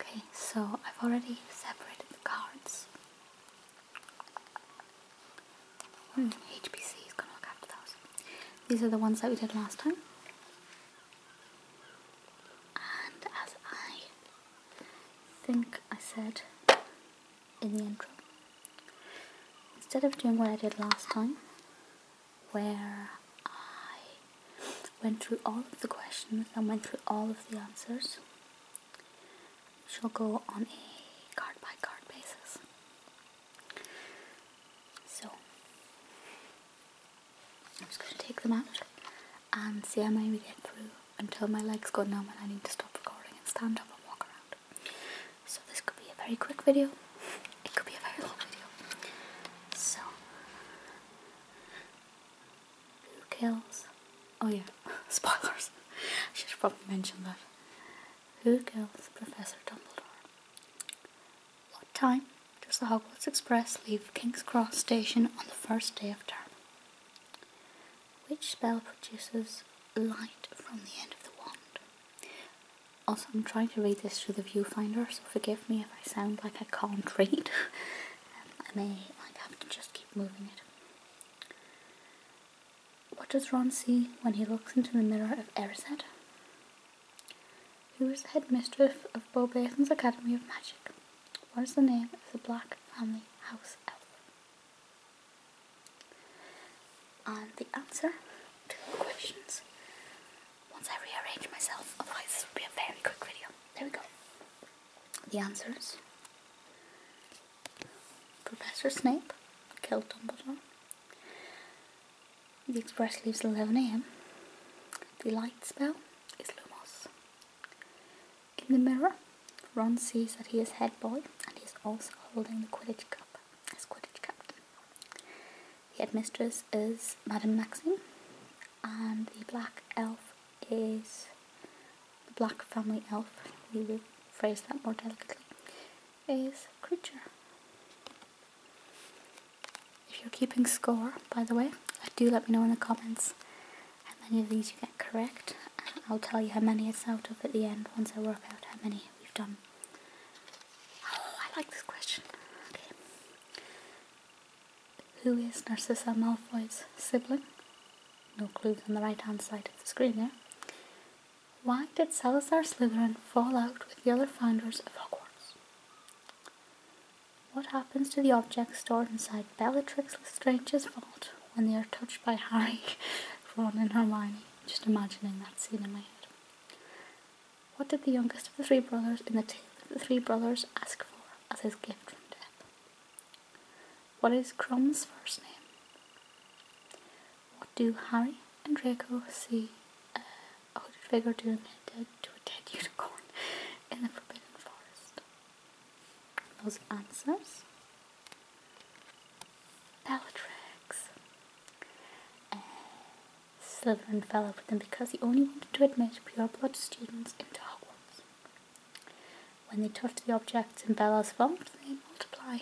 Okay, so I've already separated the cards. HPC hmm, is gonna look after those. These are the ones that we did last time. And as I think I said in the intro, instead of doing what I did last time, where I went through all of the questions and went through all of the answers. She'll go on a card by card basis. So I'm just going to take them out and see how many we get through until my legs go numb and I need to stop recording and stand up and walk around. So this could be a very quick video it could be a very long video. So, who kills? Oh yeah, spoilers. I should have probably mentioned that. Who kills Professor Dumbledore? What time does the Hogwarts Express leave King's Cross Station on the first day of term? Which spell produces light from the end of the wand? Also, I'm trying to read this through the viewfinder, so forgive me if I sound like I can't read. Um, I may like have to just keep moving it. What does Ron see when he looks into the mirror of Erised? Who is the headmistress of Beaubaton's Academy of Magic? What is the name of the Black Family House Elf? And the answer to the questions once I rearrange myself, otherwise this would be a very quick video. There we go. The answers. Professor Snape killed Dumbledore. The express leaves at 11am. The light spell is Lumos. In the mirror, Ron sees that he is head boy and he's also holding the Quidditch cup as Quidditch captain. The headmistress is Madame Maxim, and the black elf is the black family elf, we will phrase that more delicately, is Creature. If you're keeping score, by the way, do let me know in the comments how many of these you get correct. I'll tell you how many it's out of at the end once I work out how many we've done. Oh, I like this question. Okay. Who is Narcissa Malfoy's sibling? No clues on the right hand side of the screen there. Why did Salazar Slytherin fall out with the other founders of Hogwarts? What happens to the objects stored inside Bellatrix Lestrange's vault when they are touched by Harry, Ron, and Hermione? Just imagining that scene in my head. What did the youngest of the three brothers in the tale of the three brothers ask for as his gift from death? What is Crum's first name? What do Harry and Draco see uh, did hooded figure to a dead unicorn in the Forbidden Forest? Those answers. Bellatrix. Uh, Slytherin fell out with him because he only wanted to admit pure-blood students into Hogwarts. When they touch the objects in Bella's vault, they multiply.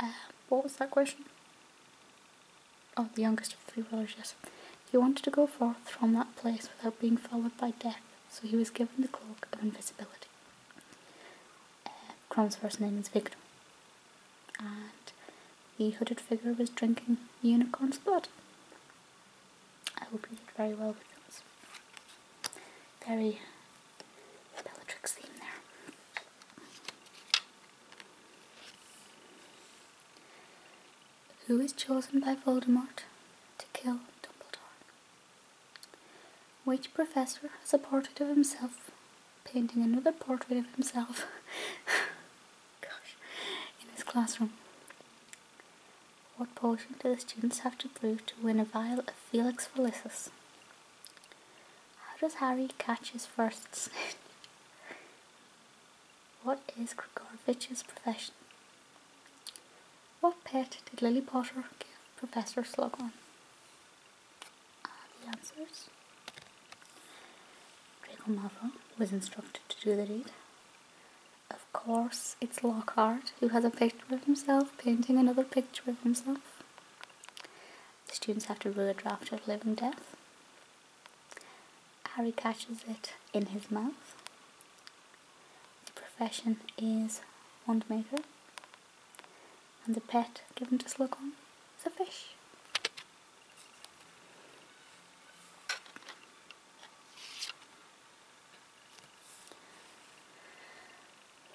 Uh, what was that question? Oh, the youngest of three brothers, yes. He wanted to go forth from that place without being followed by death, so he was given the cloak of invisibility. Uh, first name is Victor and the hooded figure was drinking unicorn's blood. I hope you did very well with those. Very Bellatrix theme there. Who is chosen by Voldemort to kill Dumbledore? Which professor has a portrait of himself painting another portrait of himself. Gosh, in his classroom. What portion do the students have to prove to win a vial of Felix Felicis? How does Harry catch his first snitch? what is Grigorovitch's profession? What pet did Lily Potter give Professor Slughorn? uh, the answers. Draco Malfoy was instructed to do the deed. Of course, it's Lockhart who has a picture of himself painting another picture of himself. The students have to read a draft of Living death. Harry catches it in his mouth. The profession is wand maker. And the pet given to Slughorn is a fish.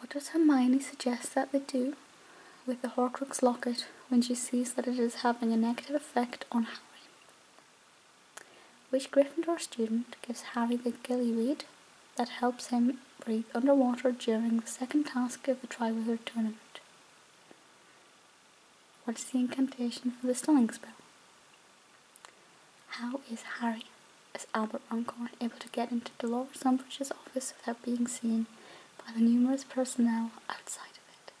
What does Hermione suggest that they do with the Horcrux locket when she sees that it is having a negative effect on Harry? Which Gryffindor student gives Harry the gillyweed that helps him breathe underwater during the second task of the Triwizard Tournament? What is the incantation for the stunning spell? How is Harry, as Albert Runcorn, able to get into Dolores Umbridge's office without being seen by the numerous personnel outside of it?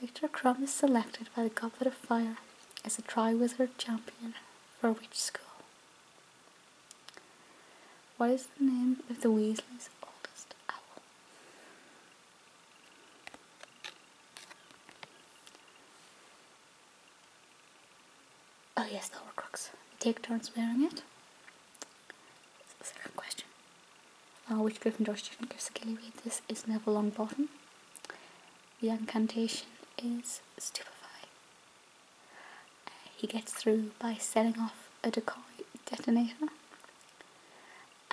Victor Crumb is selected by the Goblet of Fire as a Triwizard Champion for which school? What is the name of the Weasley's oldest owl? Oh yes, the Horcrux. We take turns wearing it. Second question. Uh, which Gryffindor student gives a read? This is Neville Longbottom. The incantation is Stupefy. Uh, he gets through by selling off a decoy detonator.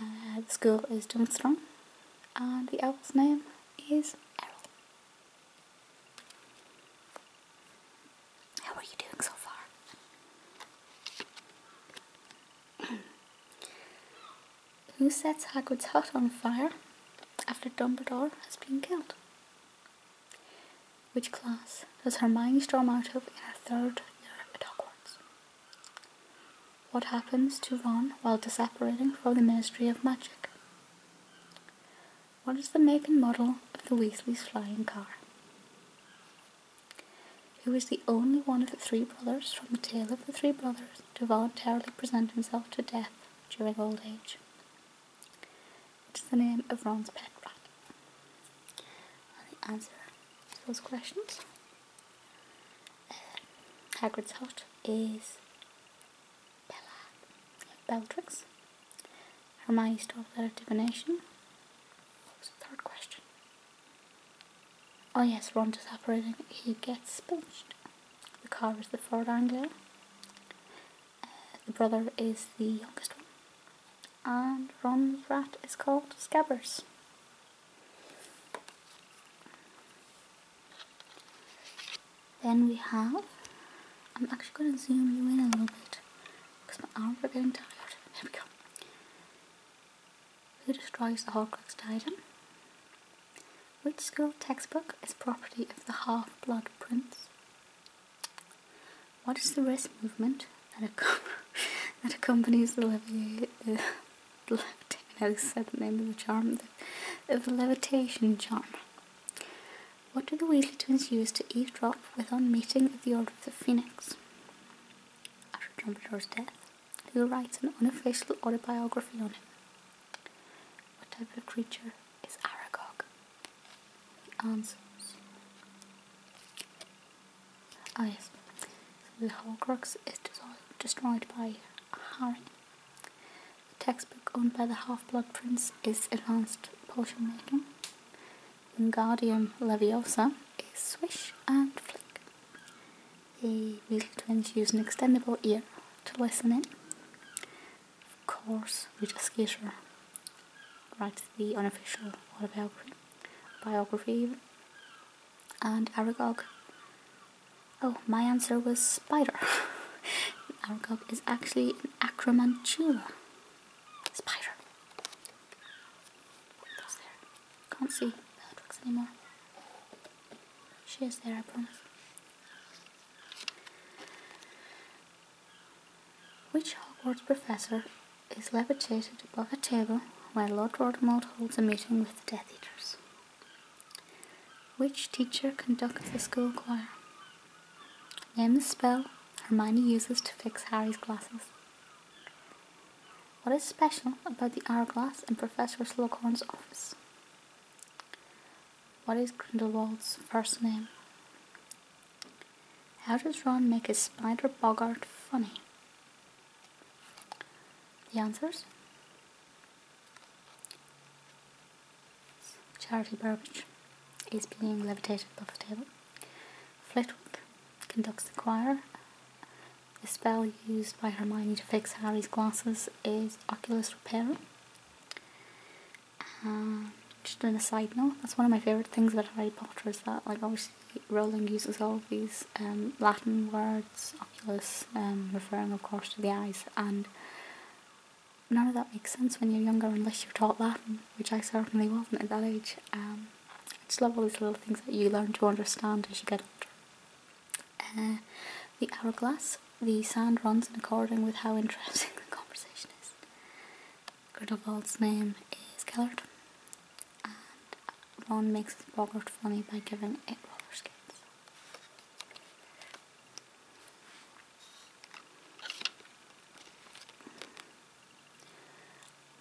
Uh, the school is Dunstrong, and uh, the owl's name is Errol. How are you doing so far? Who sets Hagrid's hut on fire after Dumbledore has been killed? Which class does Hermione storm out of in her third year at Hogwarts? What happens to Ron while disapparating from the Ministry of Magic? What is the make and model of the Weasley's flying car? Who is the only one of the three brothers from the tale of the three brothers to voluntarily present himself to death during old age? What is the name of Ron's pet rat? the answer to those questions. Uh, Hagrid's hut is Bella Beltrix. Hermione's twelfth is divination. What was the third question? Oh yes, Ron is operating. He gets punched. The car is the Ford Anglia. Uh, the brother is the youngest one and Ron's rat is called Scabbers. Then we have, I'm actually going to zoom you in a little bit because my arms are getting tired. Here we go. Who destroys the Horcrux Titan? Which school textbook is property of the Half-Blood Prince? What is the wrist movement that, that accompanies the levi- uh, levitation? I said the name of the charm. of the levitation charm. What do the Weasley twins use to eavesdrop with on meeting of the Order of the Phoenix? After Dumbledore's death, who writes an unofficial autobiography on him? What type of creature is Aragog? The answers. Oh yes, so the Horcrux is destroyed by Harry. The textbook owned by the Half-Blood Prince is advanced potion making. Wingardium Leviosa is swish and flick. The Weasel Twins use an extendable ear to listen in. Of course, Rita Skeeter writes the unofficial autobiography biography, and Aragog. Oh, my answer was spider. Aragog is actually an acromantula. Spider. That's Can't see Bellatrix anymore. She is there, I promise. Which Hogwarts professor is levitated above a table while Lord Voldemort holds a meeting with the Death Eaters? Which teacher conducts the school choir? Name the spell Hermione uses to fix Harry's glasses. What is special about the hourglass in Professor Slughorn's office? What is Grindelwald's first name? How does Ron make his spider boggart funny? The answers? Charity Burbage is being levitated above the table. Flitwick conducts the choir. The spell used by Hermione to fix Harry's glasses is Oculus Repair. just on a side note, that's one of my favourite things about Harry Potter is that like always. Rowling uses all of these um, Latin words, oculus, um, referring of course to the eyes, and none of that makes sense when you're younger unless you're taught Latin, which I certainly wasn't at that age. Um, I just love all these little things that you learn to understand as you get older. Uh, the hourglass, the sand runs in according with how interesting the conversation is. Grindelwald's name is Gellert, and Ron makes Hogwarts funny by giving it roller skates.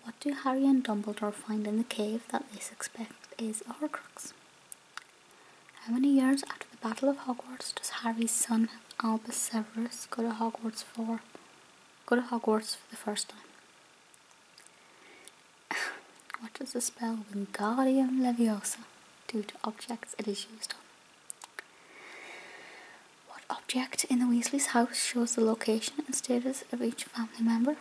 What do Harry and Dumbledore find in the cave that they suspect is a Horcrux? How many years after the Battle of Hogwarts does Harry's son Albus Severus go to Hogwarts for? go to Hogwarts for the first time. what does the spell Wingardium Leviosa do to objects it is used on? What object in the Weasley's house shows the location and status of each family member?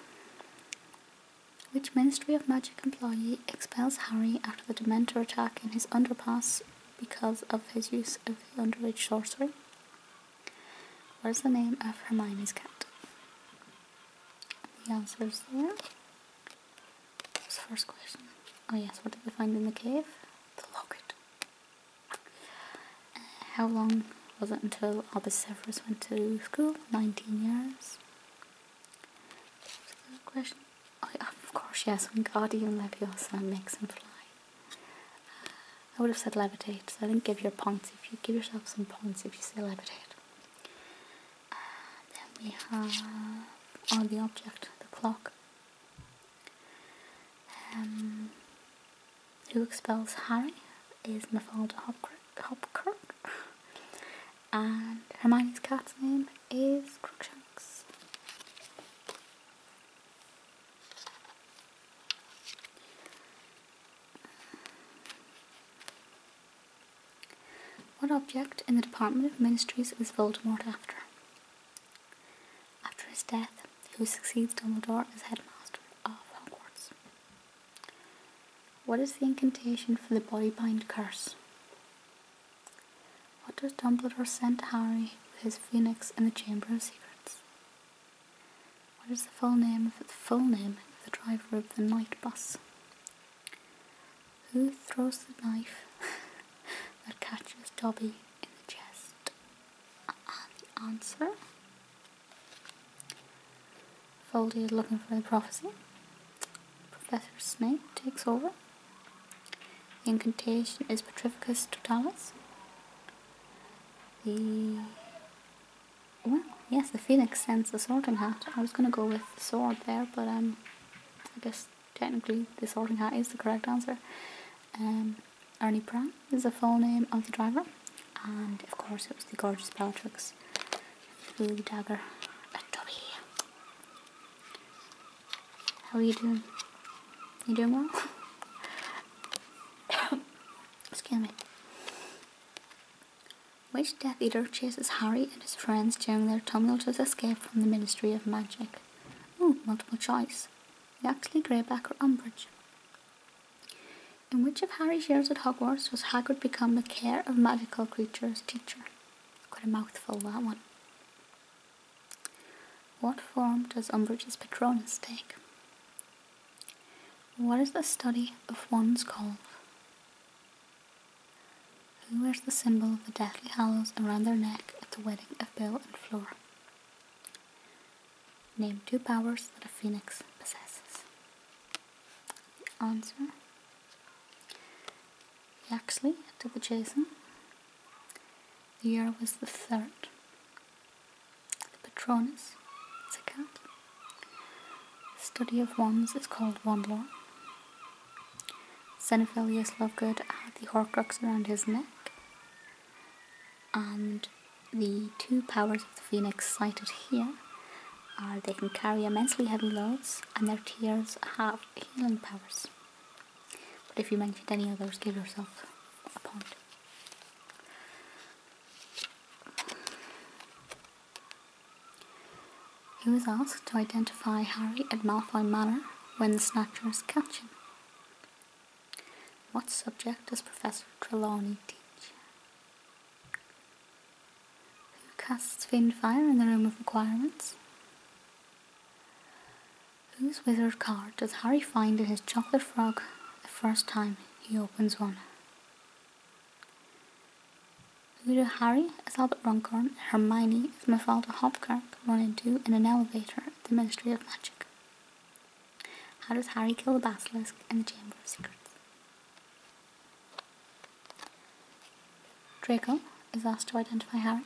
Which Ministry of Magic employee expels Harry after the Dementor attack in his underpass because of his use of underage sorcery? What is the name of Hermione's cat? The answer is there. What's the first question? Oh yes, what did they find in the cave? The locket. Uh, how long was it until Albus Severus went to school? 19 years. That's a good question. Oh, of course, yes, when Wingardium Leviosa makes him fly. I would have said levitate, so I didn't give your points. If you give yourself some points if you say levitate. then we have on the object, the clock. Um, who expels Harry is Mafalda Hopkirk, Hopkirk. and Hermione's cat's name is Crookshanks. What object in the Department of Ministries is Voldemort after? After his death, who succeeds Dumbledore as headmaster of Hogwarts? What is the incantation for the body bind Curse? What does Dumbledore send to Harry with his phoenix in the Chamber of Secrets? What is the full name of the full name of the driver of the night bus? Who throws the knife that catches Dobby in the chest? Uh, uh the answer. Foldy is looking for the prophecy. Professor Snape takes over. The incantation is Petrificus Totalis well, yes, the phoenix sends the sorting hat. I was gonna go with sword there, but um, I guess technically the sorting hat is the correct answer. Um, Ernie Brown is the full name of the driver, and of course it was the gorgeous Bellatrix who the dagger at How are you doing? You doing well? Excuse me. Which Death Eater chases Harry and his friends during their tumultuous escape from the Ministry of Magic? Ooh, multiple choice. Yaxley, Greyback, or Umbridge? In which of Harry's years at Hogwarts does Hagrid become the Care of Magical Creatures teacher? Quite a mouthful, that one. What form does Umbridge's Patronus take? What is the study of one's calf? Who wears the symbol of the Deathly Hallows around their neck at the wedding of Bill and Flora? Name two powers that a phoenix possesses. answer Yaxley to the Jason. The year was the third. The Patronus is a cat. study of Wands is called Wandlore. Xenophilius Lovegood had the Horcrux around his neck. And the two powers of the Phoenix cited here are they can carry immensely heavy loads and their tears have healing powers. But if you mentioned any others, give yourself a point. He was asked to identify Harry at Malfoy Manor when the Snatchers catch him. What subject does Professor Trelawney teach? Who casts Fiend Fire in the Room of Requirements? Whose wizard card does Harry find in his chocolate frog the first time he opens one. Later, Harry as Albert Runcorn and Hermione as Mafalda Hopkirk run into in an elevator at the Ministry of Magic. How does Harry kill the basilisk in the Chamber of Secrets? Draco is asked to identify Harry.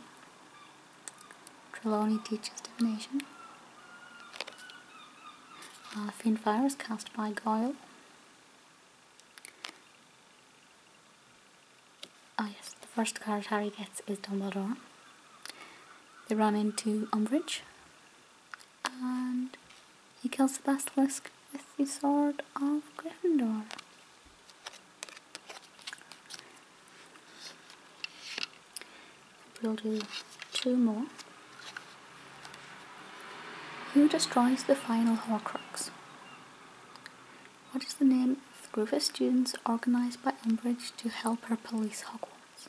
Trelawney teaches divination uh, is cast by Goyle. Oh yes, the first card Harry gets is Dumbledore. They run into Umbridge and he kills the Basilisk with the Sword of Gryffindor. We'll do two more. Who destroys the final Horcrux? What is the name of the group of students organized by Umbridge to help her police Hogwarts?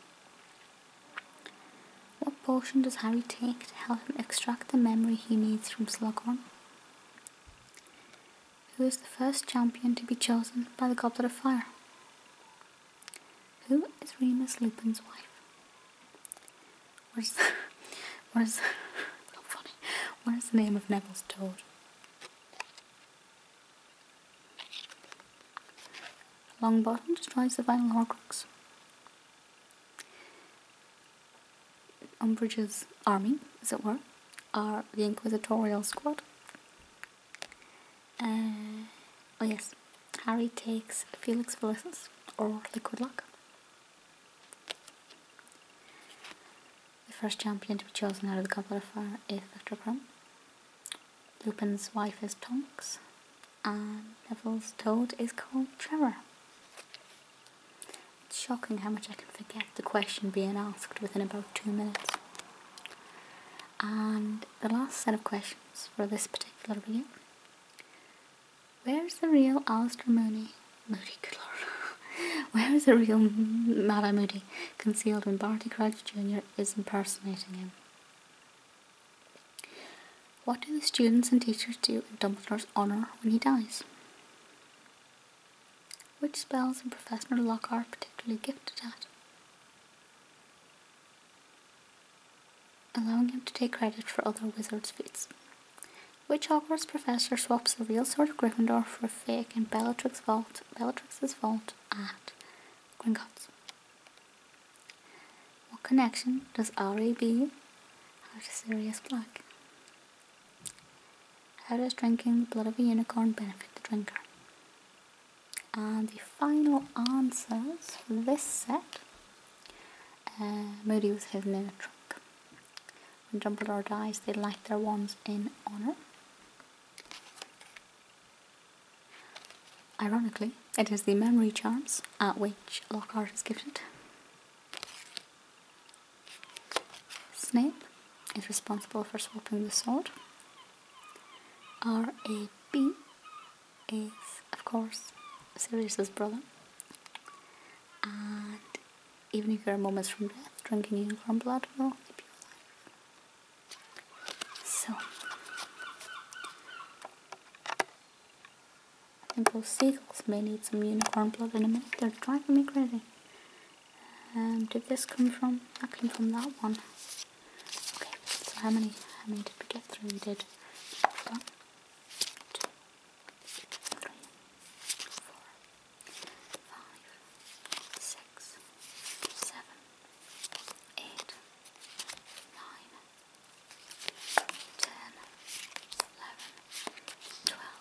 What potion does Harry take to help him extract the memory he needs from Slughorn? Who is the first champion to be chosen by the Goblet of Fire? Who is Remus Lupin's wife? Where's What is the name of Neville's toad? Longbottom destroys the final Horcrux. Umbridge's army, as it were, are the Inquisitorial Squad. Uh, oh yes, Harry takes Felix for lessons or Liquid Luck. The first champion to be chosen out of the Goblet of Fire is Victor Crumb. Lupin's wife is Tonks, and Neville's toad is called Trevor. It's shocking how much I can forget the question being asked within about two minutes. And the last set of questions for this particular video. Where's the real Alistair Mooney? Moody, good lord. Where is the real Madame Moody concealed when Barty Crouch Jr. is impersonating him? What do the students and teachers do in Dumbledore's honour when he dies? Which spells is Professor Lockhart particularly gifted at? allowing him to take credit for other wizards' feats. Which Hogwarts professor swaps the real Sword of Gryffindor for a fake in Bellatrix vault, Bellatrix's vault at Gringotts? What connection does R.A.B. have to Sirius Black? How does drinking the blood of a unicorn benefit the drinker? And the final answers for this set uh, Moody was hidden in a trunk. When Dumbledore dies, they light their wands in honour. Ironically, it is the memory charms at which Lockhart is gifted. Snape is responsible for swapping the sword. R.A.B is, of course, Sirius's brother. And even if there are moments from death, drinking unicorn blood will So, I those seagulls may need some unicorn blood in a minute. They're driving me crazy. Um, did this come from? That came from that one. Okay, so how many how many did we get through? We did one, two, three, four, five, six, seven, eight, nine, ten, eleven, twelve,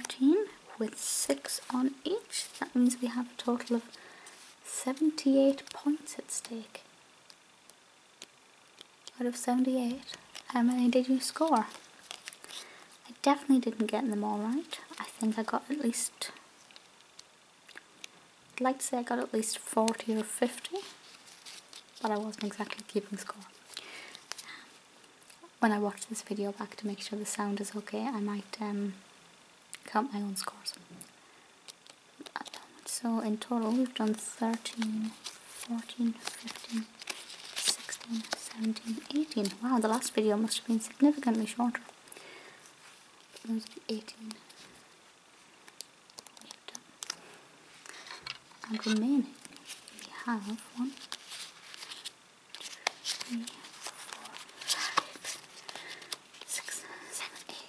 thirteen with six on each. That means we have a total of 78 points at stake. Out of 78, how many did you score? I definitely didn't get them all right. I think I got at least, I'd like to say I got at least 40 or 50, but I wasn't exactly keeping score. When I watch this video back to make sure the sound is okay, I might um, count my own scores so in total we've done 13 14 15 16 17 18 wow the last video must have been significantly shorter those 18 remaining we have one two, three, four, five, six, seven, eight.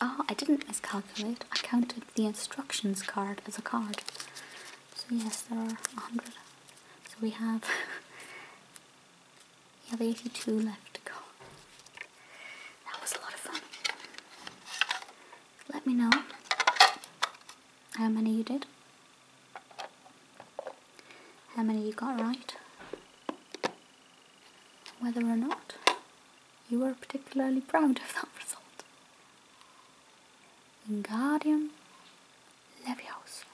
Oh, I didn't miscalculate. I counted the instructions card as a card. So yes, there are 100. So we have, we have 82 left to go. That was a lot of fun. Let me know how many you did. How many you got right whether or not you are particularly proud of that result. Wingardium Leviosa.